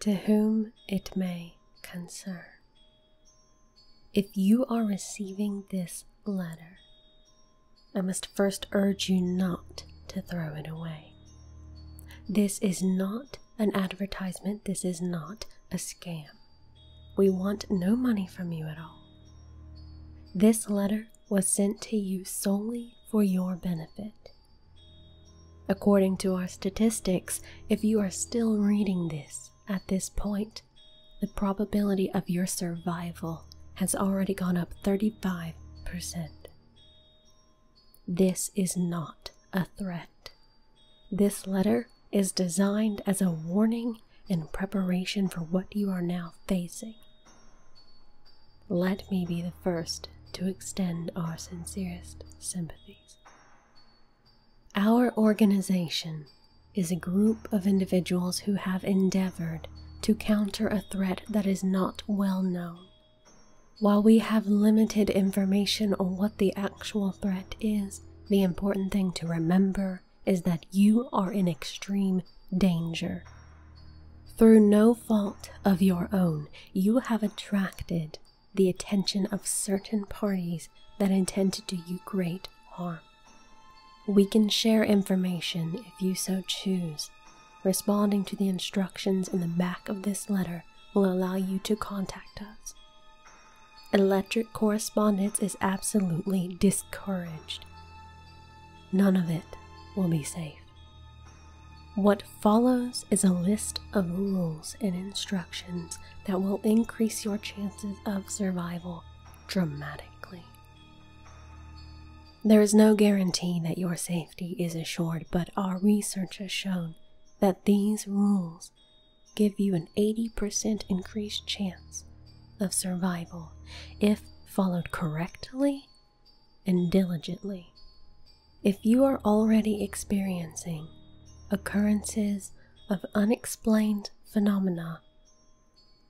to whom it may concern. If you are receiving this letter, I must first urge you not to throw it away. This is not an advertisement, this is not a scam. We want no money from you at all. This letter was sent to you solely for your benefit. According to our statistics, if you are still reading this at this point, the probability of your survival has already gone up 35%. This is not a threat. This letter is designed as a warning in preparation for what you are now facing let me be the first to extend our sincerest sympathies. Our organization is a group of individuals who have endeavored to counter a threat that is not well known. While we have limited information on what the actual threat is, the important thing to remember is that you are in extreme danger through no fault of your own, you have attracted the attention of certain parties that intend to do you great harm. We can share information if you so choose. Responding to the instructions in the back of this letter will allow you to contact us. Electric correspondence is absolutely discouraged. None of it will be safe. What follows is a list of rules and instructions that will increase your chances of survival dramatically. There is no guarantee that your safety is assured, but our research has shown that these rules give you an 80% increased chance of survival if followed correctly and diligently. If you are already experiencing occurrences of unexplained phenomena,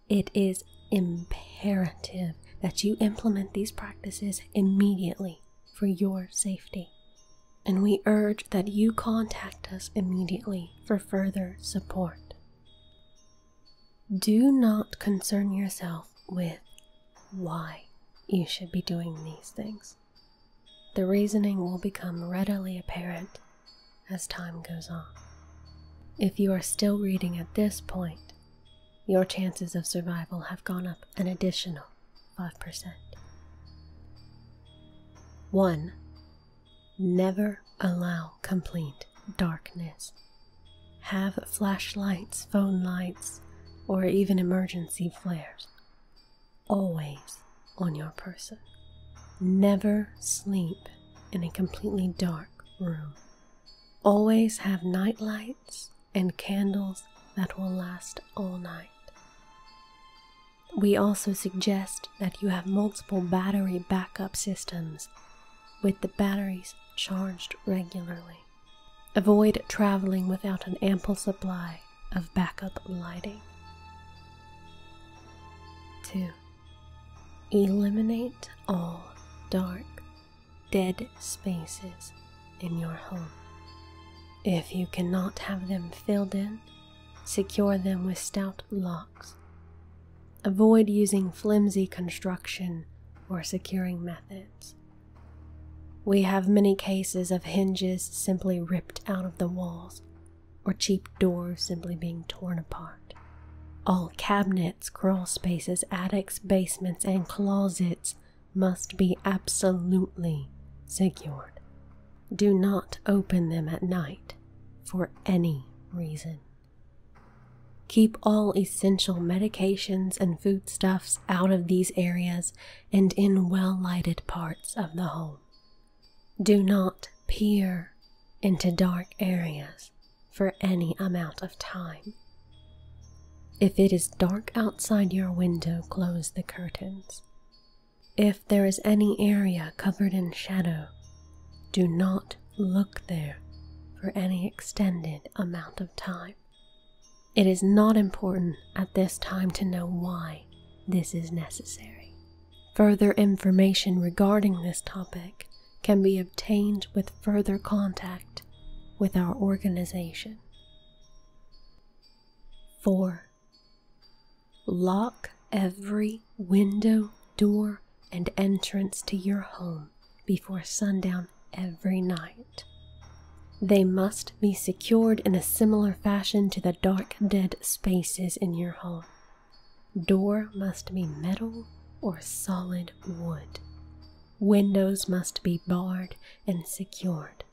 it is imperative that you implement these practices immediately for your safety. And we urge that you contact us immediately for further support. Do not concern yourself with why you should be doing these things. The reasoning will become readily apparent as time goes on. If you are still reading at this point, your chances of survival have gone up an additional 5%. 1. Never allow complete darkness. Have flashlights, phone lights, or even emergency flares always on your person. Never sleep in a completely dark room. Always have nightlights and candles that will last all night. We also suggest that you have multiple battery backup systems with the batteries charged regularly. Avoid traveling without an ample supply of backup lighting. 2. Eliminate all dark, dead spaces in your home. If you cannot have them filled in, secure them with stout locks Avoid using flimsy construction or securing methods. We have many cases of hinges simply ripped out of the walls, or cheap doors simply being torn apart. All cabinets, crawl spaces, attics, basements, and closets must be absolutely secured. Do not open them at night for any reason. Keep all essential medications and foodstuffs out of these areas and in well lighted parts of the home. Do not peer into dark areas for any amount of time. If it is dark outside your window, close the curtains. If there is any area covered in shadow, do not look there for any extended amount of time. It is not important at this time to know why this is necessary. Further information regarding this topic can be obtained with further contact with our organization. 4. Lock every window, door, and entrance to your home before sundown every night. They must be secured in a similar fashion to the dark, dead spaces in your home. Door must be metal or solid wood. Windows must be barred and secured.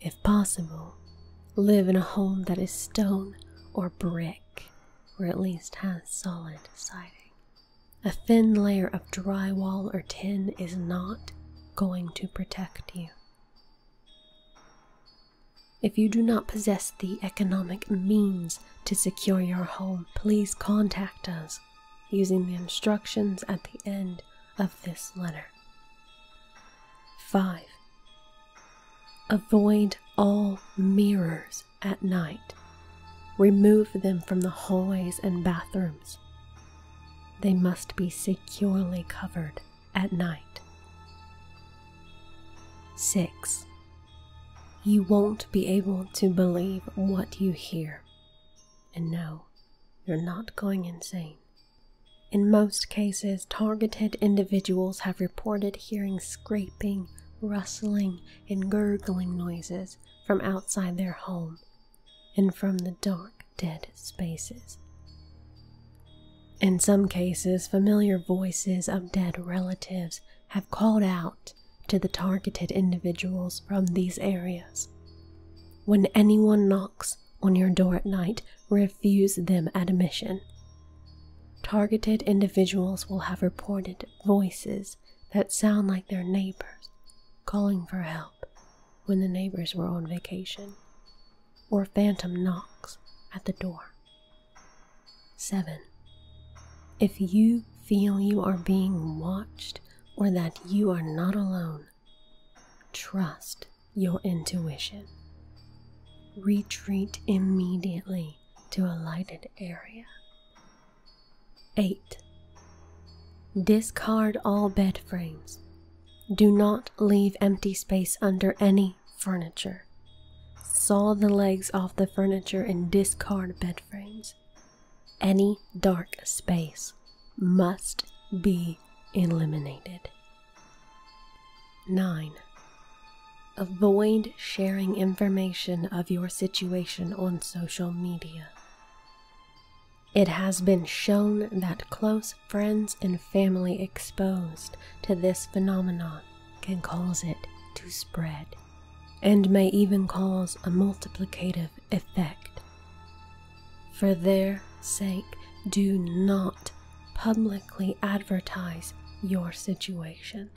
If possible, live in a home that is stone or brick or at least has solid siding. A thin layer of drywall or tin is not going to protect you. If you do not possess the economic means to secure your home, please contact us using the instructions at the end of this letter. 5. Avoid all mirrors at night. Remove them from the hallways and bathrooms. They must be securely covered at night. 6. You won't be able to believe what you hear. And no, you're not going insane. In most cases, targeted individuals have reported hearing scraping rustling, and gurgling noises from outside their home and from the dark, dead spaces. In some cases, familiar voices of dead relatives have called out to the targeted individuals from these areas. When anyone knocks on your door at night, refuse them admission Targeted individuals will have reported voices that sound like their neighbors calling for help when the neighbors were on vacation, or phantom knocks at the door. 7. If you feel you are being watched or that you are not alone, trust your intuition. Retreat immediately to a lighted area. 8. Discard all bed frames. Do not leave empty space under any furniture. Saw the legs off the furniture and discard bed frames. Any dark space must be illuminated. 9. Avoid sharing information of your situation on social media. It has been shown that close friends and family exposed to this phenomenon can cause it to spread and may even cause a multiplicative effect. For their sake, do not publicly advertise your situation.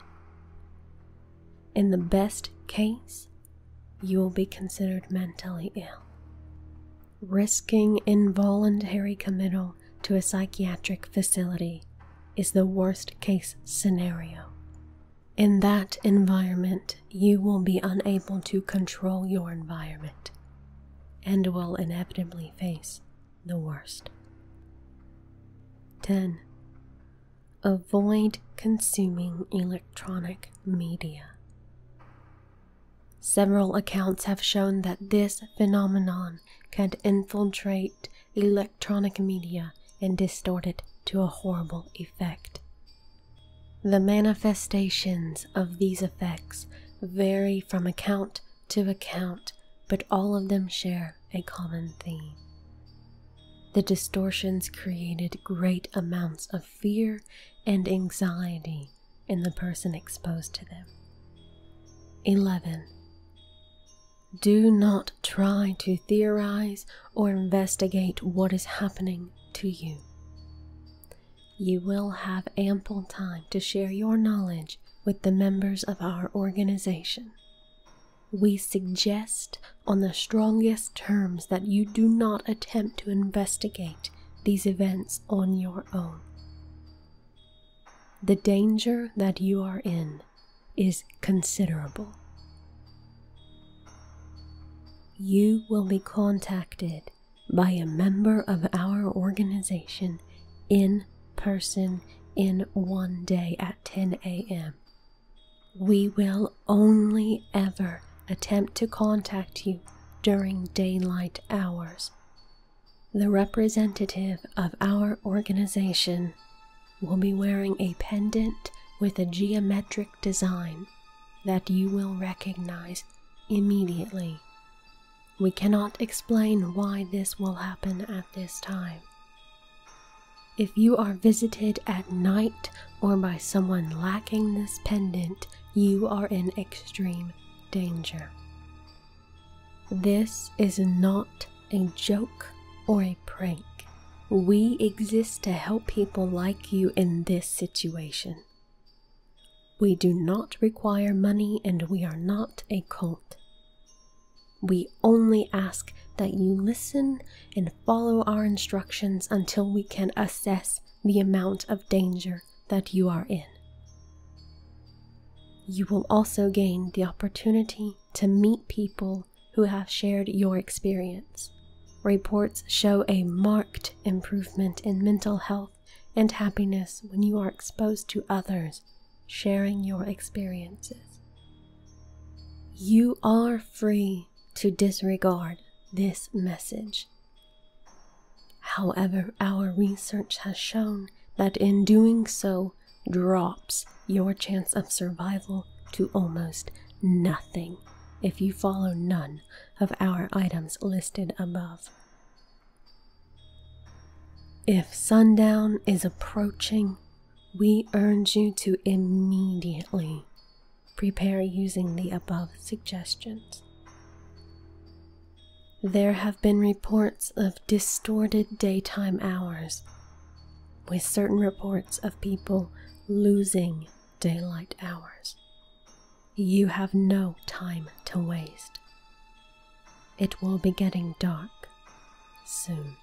In the best case, you will be considered mentally ill, risking involuntary committal to a psychiatric facility. Is the worst case scenario. In that environment, you will be unable to control your environment and will inevitably face the worst. 10. Avoid consuming electronic media. Several accounts have shown that this phenomenon can infiltrate electronic media and distort it to a horrible effect. The manifestations of these effects vary from account to account, but all of them share a common theme. The distortions created great amounts of fear and anxiety in the person exposed to them. 11. Do not try to theorize or investigate what is happening to you you will have ample time to share your knowledge with the members of our organization. We suggest on the strongest terms that you do not attempt to investigate these events on your own. The danger that you are in is considerable. You will be contacted by a member of our organization in person in one day at 10 a.m. We will only ever attempt to contact you during daylight hours. The representative of our organization will be wearing a pendant with a geometric design that you will recognize immediately we cannot explain why this will happen at this time. If you are visited at night or by someone lacking this pendant, you are in extreme danger. This is not a joke or a prank. We exist to help people like you in this situation. We do not require money and we are not a cult. We only ask that you listen and follow our instructions until we can assess the amount of danger that you are in. You will also gain the opportunity to meet people who have shared your experience. Reports show a marked improvement in mental health and happiness when you are exposed to others sharing your experiences. You are free to disregard this message. However, our research has shown that in doing so drops your chance of survival to almost nothing if you follow none of our items listed above. If sundown is approaching, we urge you to immediately prepare using the above suggestions. There have been reports of distorted daytime hours, with certain reports of people losing daylight hours you have no time to waste. It will be getting dark soon.